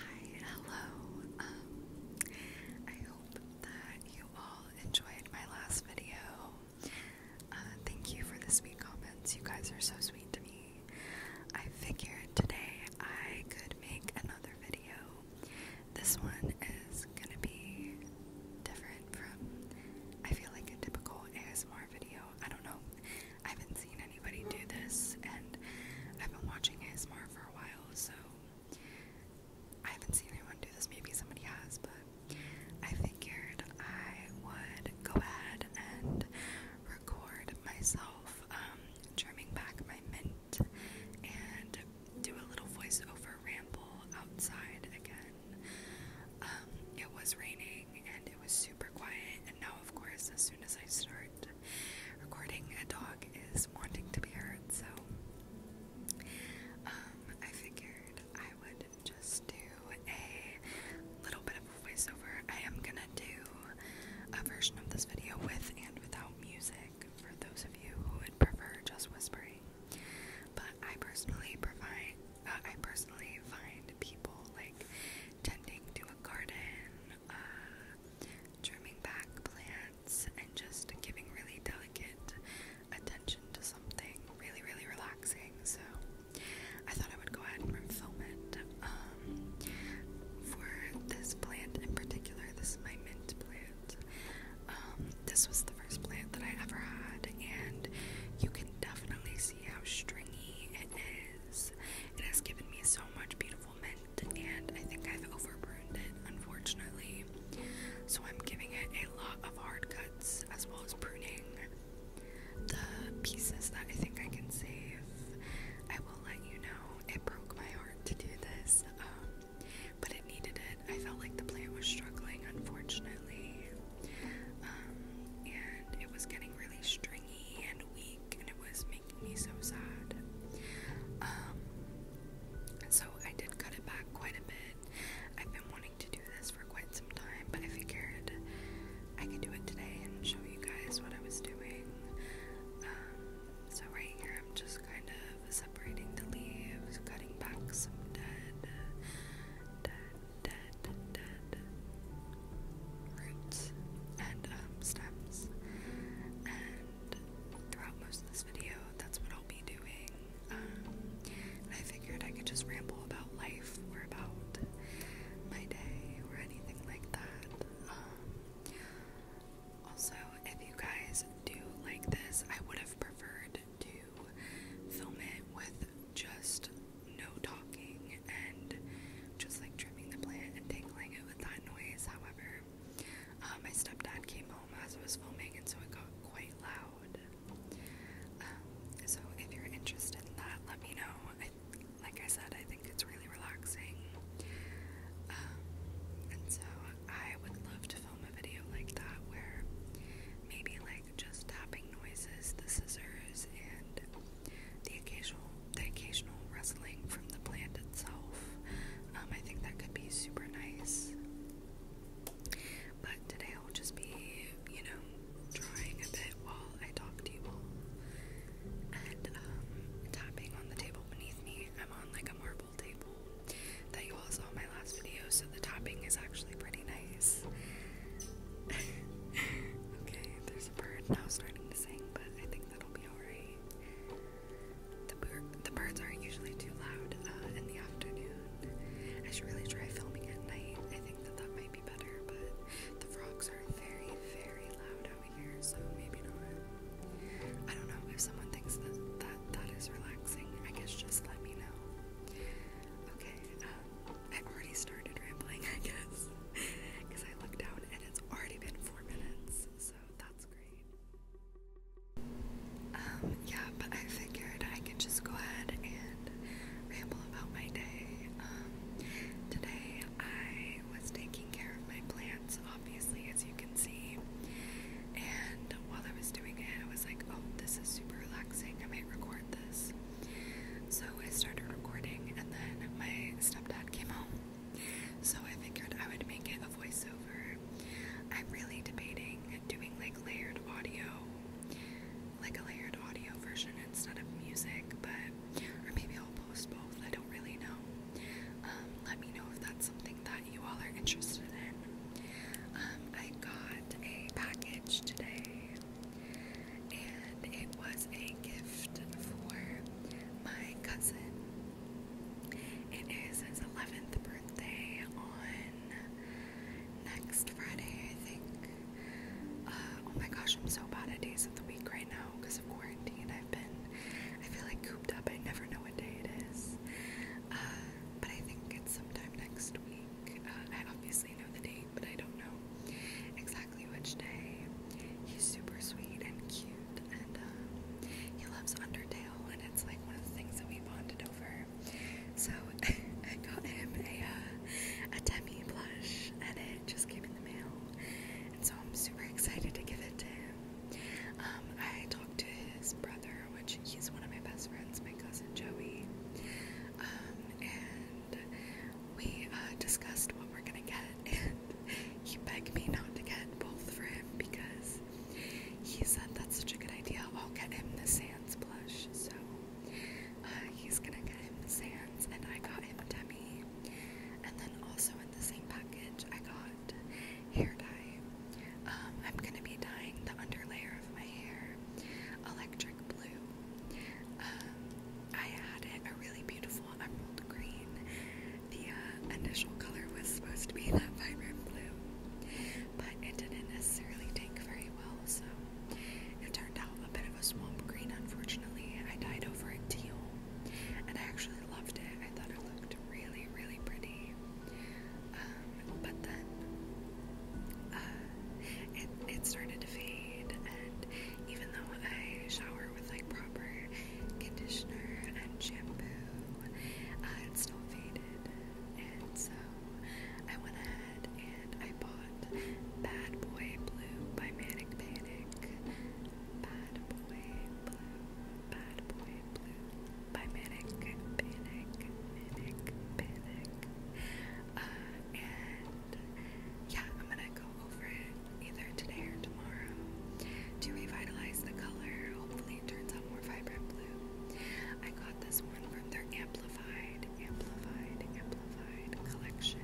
Hi, hello. Um, I hope that you all enjoyed my last video. Uh, thank you for the sweet comments. You guys are so sweet to me. I figured today I could make another video. This one is gonna be different from, I feel like, a typical ASMR video. I don't know. I haven't seen anybody do this, and I've been watching ASMR for a while, so I haven't seen anyone do this. Maybe somebody has, but I figured I would go ahead and record myself um, trimming back my mint and do a little voiceover ramble outside again. Um, it was raining and it was super quiet, now, of course, as soon as I start recording, a dog is wanting to be heard, so um, I figured I would just do a little bit of a voiceover. I am gonna do a version of this video with and without music for those of you who would prefer just whispering. But I personally provide, uh, I personally find people like tending to a garden trimming back plants and just giving really delicate attention to something really, really relaxing. So I thought I would go ahead and film it. Um, for this plant in particular, this is my mint plant. Um, this was the first plant that I ever had, and you can definitely see see how stringy it is. It has given me so much beautiful mint, and I think I've overpruned it, unfortunately. So I'm giving it a lot of hard cuts as well as pruning. The pieces that I think I can save, I will let you know. It broke my heart to do this, um, but it needed it. I felt like the plant was struggling, unfortunately. Um, and it was getting really stringy and weak and it was making me so sad. Um, so I did cut it back quite a bit. I've been wanting to do this for quite some time, but I figured I could do it today and show you guys what I was doing. Um, so right here I'm just kind of separating the leaves, cutting back some dead, dead, roots and um, stems. And throughout most of this video, that's what I'll be doing. Um, I figured I could just ramble about life or about my day or anything like that. Um, also, if you guys do like this, I would have preferred to film it with just no talking and just like trimming the plant and tangling it with that noise. However, uh, my stepdad came home as I was filming, and so it got quite loud. Um, so if you're interested in that, let me know. like I said, I think it's really relaxing. Um, and so I would love to film a video like that where maybe like just tapping noises, the scissors, and the occasional the occasional rustling from the plant itself. Um, I think that could be super nice. But today I'll just be, you know, drawing a bit while I talk to you all. And um, tapping on the table beneath me. I'm on like a marble table that you all saw in my last video, so the tapping is actually pretty nice okay, there's a bird now starting to sing, but I think that'll be alright. The, birds are usually too loud uh, in the afternoon. I should really try filming at night. I think that that might be better, but the frogs are very, very loud out here, so maybe not. I don't know if someone thinks that that, that is relaxing. I guess just let me know. Okay, um, I've already started rambling, I guess, because I looked down and it's already been four minutes, so that's great. Um, yeah, but I figured I could just go ahead and ramble about my day. Um, today I was taking care of my plants, obviously, as you can see, and while I was doing it, I was like, oh, this is super relaxing. I might record this. So I started recording, and then my stepdad came home. So I figured I would make it a voiceover. I'm really debating doing like layered audio, like a layered audio version instead of music, but or maybe I'll post both. I don't really know. Um, let me know if that's something that you all are interested in. Um, I got a package today and it was a gift for my cousin. It is his 11th birthday on next Friday, I think. Uh, oh my gosh, I'm so bad at days of the week right now because of quarantine. I've been, I feel like cooped up. I never know what day it is. Uh, but I think it's sometime next week. Uh, obviously obviously know the date, but I don't know exactly which day. He's super sweet and cute, and uh, he loves Undertale, and it's like one of the things that we bonded over. So I got him a uh, a Demi plush, and it just came in the mail, and so I'm super excited to give it to him. Um, I talked to his brother, which he's one of my best friends, my cousin Joey um, and we uh, discussed what we're gonna get, and he begged me not to get both for him because he said that's such a good idea. I'll get him the sands blush, so uh, he's gonna get him the sands and I got him Demi, and then also in the same package I got hair dye. Um, I'm gonna be dyeing the underlayer of my hair electric blue. Um, I had a really beautiful emerald green. The uh, initial color was supposed to be that vibrant blue, but it didn't necessarily take very well, so it turned out a bit of a swamp green, unfortunately. I dyed over a teal, and I actually loved it. I thought it looked really, really pretty. Um, but then uh, it, it started to fade, and even though I shower with like proper conditioner and shampoo, uh, it still faded. And so I went ahead and I bought Bad Boy Blue by Manic Panic. Bad Boy Blue, Bad Boy Blue by Manic, Panic, Panic. Uh, and yeah, I'm gonna go over it either today or tomorrow to revitalize the color. Hopefully, it turns out more vibrant blue. I got this one from their Amplified, Amplified, Amplified collection.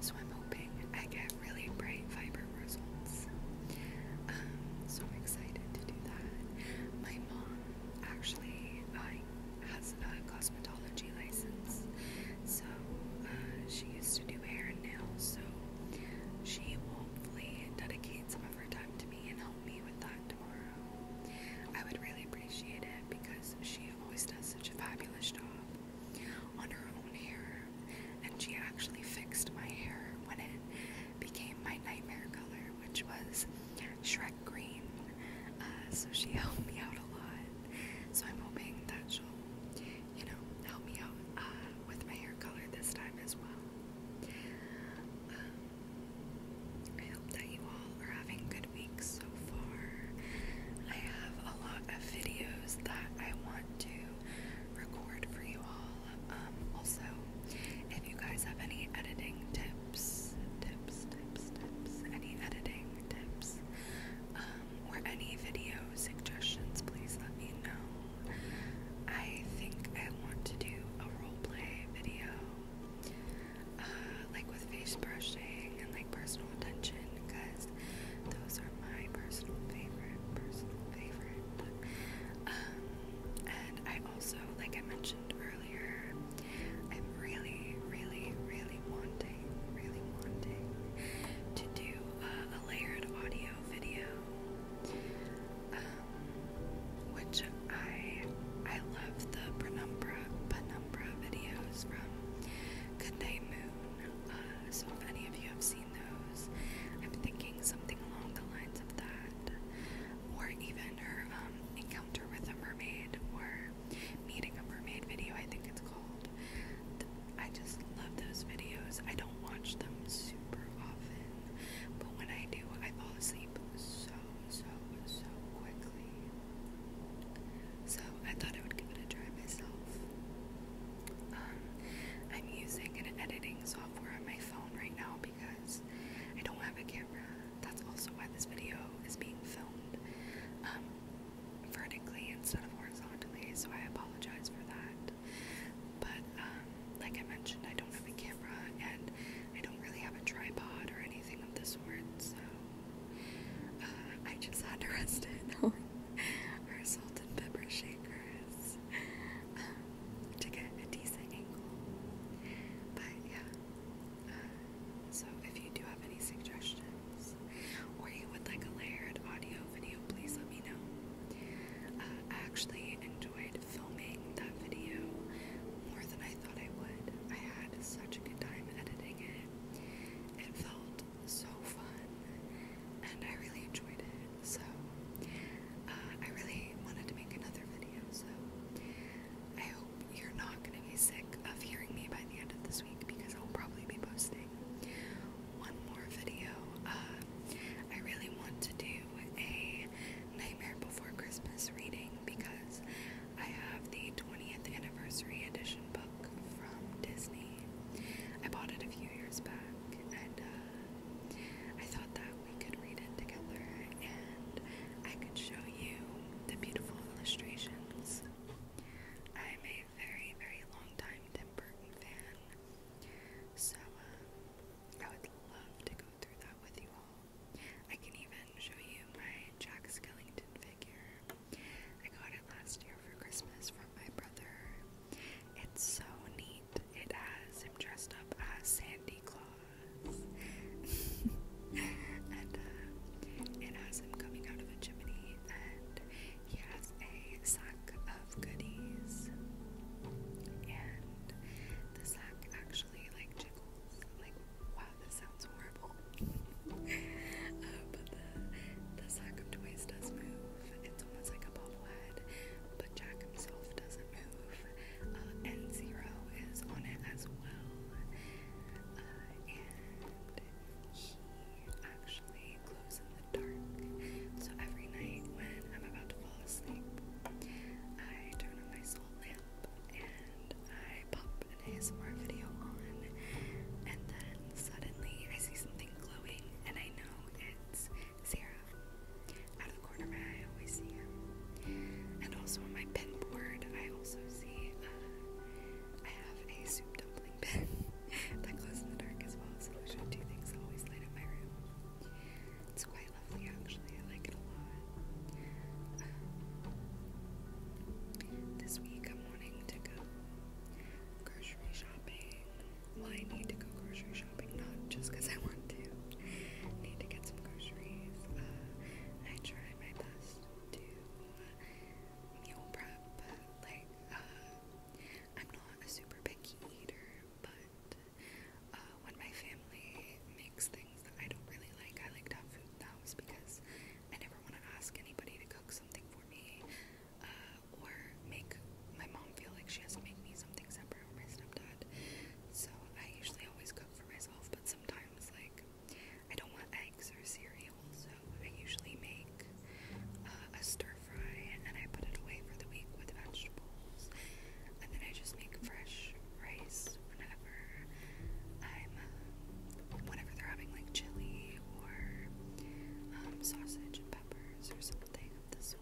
So I'm hoping I get really bright, vibrant results. Um, so I'm excited to do that. My mom actually uh, has a cosmetology license, so uh, she used to do hair and nails. So she will hopefully dedicate some of her time to me and help me with that tomorrow. I would really appreciate it because she always does such a fabulous job on her own hair, and she actually fixed my hair when it became my nightmare color, which was Shrek Green. Uh, so she helped me out a lot. So I'm hoping that she'll, you know, help me out uh, with my hair color this time as well. Um, I hope that you all are having good weeks so far. I have a lot of videos that I want to record for you all. Um, also, if you guys have any editing tips, tips, tips, any editing tips, um, or any video suggestions, please let me know. I think I want to do a roleplay video, uh, like with face brushing and like personal attention, because those are my personal favorite, personal favorite. Um, and I also, like I mentioned earlier, I'm really, really, really wanting, really wanting to do a layered audio video, um, which I I love the penumbra penumbra videos from Goodnight Moon. Uh, so if any of you have seen those, I'm thinking something along the lines of that or even her um, encounter with a mermaid or meeting a mermaid video, I think it's called. I just love those videos. I don't watch them super often, but when I do, I fall asleep so, so, so quickly. So I thought I would give it a try myself. Um, I'm using an editing software on my phone right now you I don't have a camera. That's also why this video is being filmed um, vertically instead of horizontally, so I apologize for that. But um, like I mentioned, I don't have a camera and I don't really have a tripod or anything of this sort, so uh, I just had to rest it on our salt and pepper shaker um, to get a decent angle. But yeah, uh, so if you do have any suggestions or you would like a layered audio video, please let me know. Uh, I actually enjoyed filming that video more than I thought I would. I had such a good time editing it. It felt so fun, and I really enjoyed it. So, uh, I really wanted to make another video, so I hope you're not going to be sick of hearing me by the end of this week because I'll probably be posting one more video. Uh, I really want to do a Nightmare Before Christmas reading because I have the 20th anniversary edition book from Disney. I bought it a few years back and uh, I thought that we could read it together and I could show you the beautiful illustrations. I'm a very, very long time Tim Burton fan, so uh, I would love to go through that with you all. I can even show you my Jack Skellington figure. I got it last year for Christmas from my brother. It's so neat right. It has him dressed up as Sandy Claus. and uh, it has him coming out of a chimney, and he has a sack of goodies. And the sack actually like jiggles. Like, wow, this sounds horrible. Uh, but the, the sack of toys does move. It's almost like a bobblehead, but Jack himself doesn't move. Uh, N Zero is on it as well. Uh, and he actually glows in the dark. So every night when I'm about to fall asleep, I turn on my soul lamp and I pop an ASMR video on, and then suddenly I see something glowing, and I know it's Zero. Out of the corner of my eye, I always see him. And also on my pin board, I also see uh, I have a soup dumpling pin that glows in the dark as well. So those are two things that always light up my room. It's quite lovely, actually. I like it a lot. this week, I'm wanting to go grocery shopping. Why I need to go grocery shopping, not just because I want to. need to get some groceries. Uh, I try my best to uh, meal prep, but like, uh, I'm not a super picky eater, but uh, when my family makes things that I don't really like, I like to have food That was because I never want to ask anybody to cook something for me or make my mom feel like she has to make me something separate or my stepdad. So I usually always cook for myself, but sometimes like I don't want eggs or cereal, so I usually make uh, a stir fry and then I put it away for the week with vegetables, and then I just make fresh rice whenever I'm um, whenever they're having like chili or um, sausage and or something of the sort.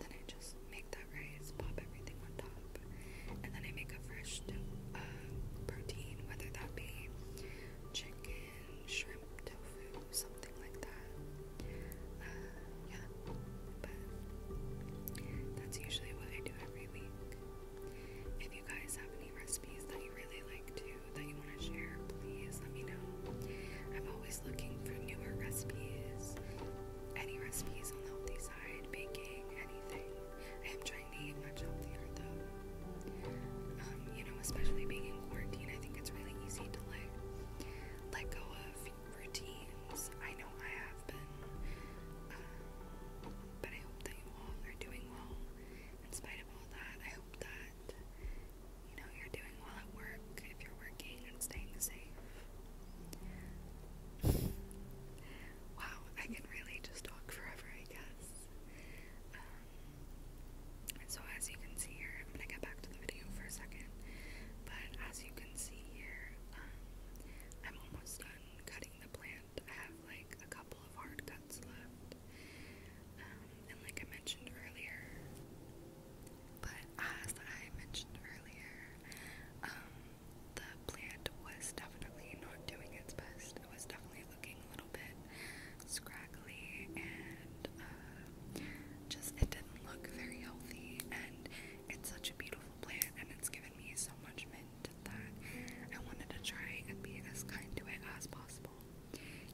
Then I just make that rice, pop everything on top, and then I make a fresh uh, protein, whether that be chicken, shrimp, tofu, something like that. Uh, yeah, but that's usually what I do every week. If you guys have any recipes that you really like to that you want to share, please let me know. I'm always looking for newer recipes, any recipes on the healthy side, baking, anything. I am trying to eat much healthier though. Um, you know, especially being in quarantine, I think it's really easy to like let go of routines. I know I have been, um, but I hope that you all are doing well. In spite of all that, I hope that you know you're doing while at work if you're working and staying safe. wow, I can really just talk forever, I guess. Um, and so as you can see here, I'm gonna get back to the video for a second, but as you can see here, um, I'm almost done cutting the plant. I have like a couple of hard cuts left. Um, and like I mentioned earlier, but as I mentioned earlier, um, the plant was definitely not doing its best. It was definitely looking a little bit scraggly and uh, just it didn't look very healthy. And it's such a beautiful plant, and it's given me so much mint that I wanted to try and be as kind to it as possible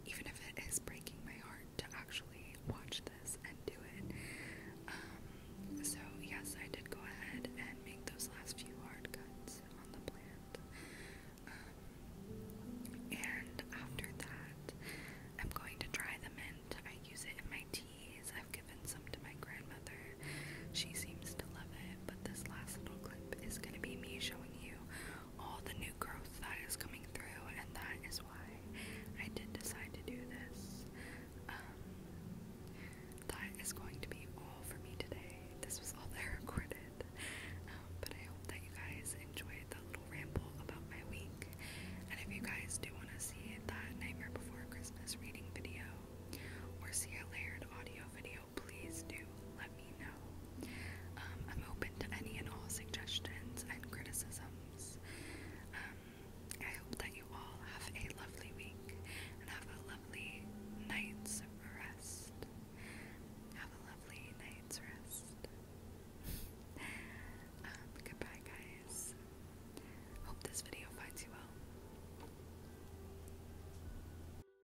even if it is breaking my heart to actually watch this and do it. Um, so, yes, I did go ahead and make those last few hard cuts on the plant. Um, and after that, I'm going to try them and I use it in my teas. I've given some to my grandmother. She seems to love it, but this last little clip is going to be me showing you all the new growth that is coming through, and that is why I did decide to do this. Um, that is going to be all for me today. This was all there recorded, um, but I hope that you guys enjoyed that little ramble about my week. And if you guys do want to see that Nightmare Before Christmas reading video or see a layered audio video, please do let me know. Um, I'm open to any and all suggestions and criticisms. Um, I hope that you all have a lovely week and have a lovely night's rest. Have a lovely night's rest. Um, goodbye, guys. Hope this video finds you well.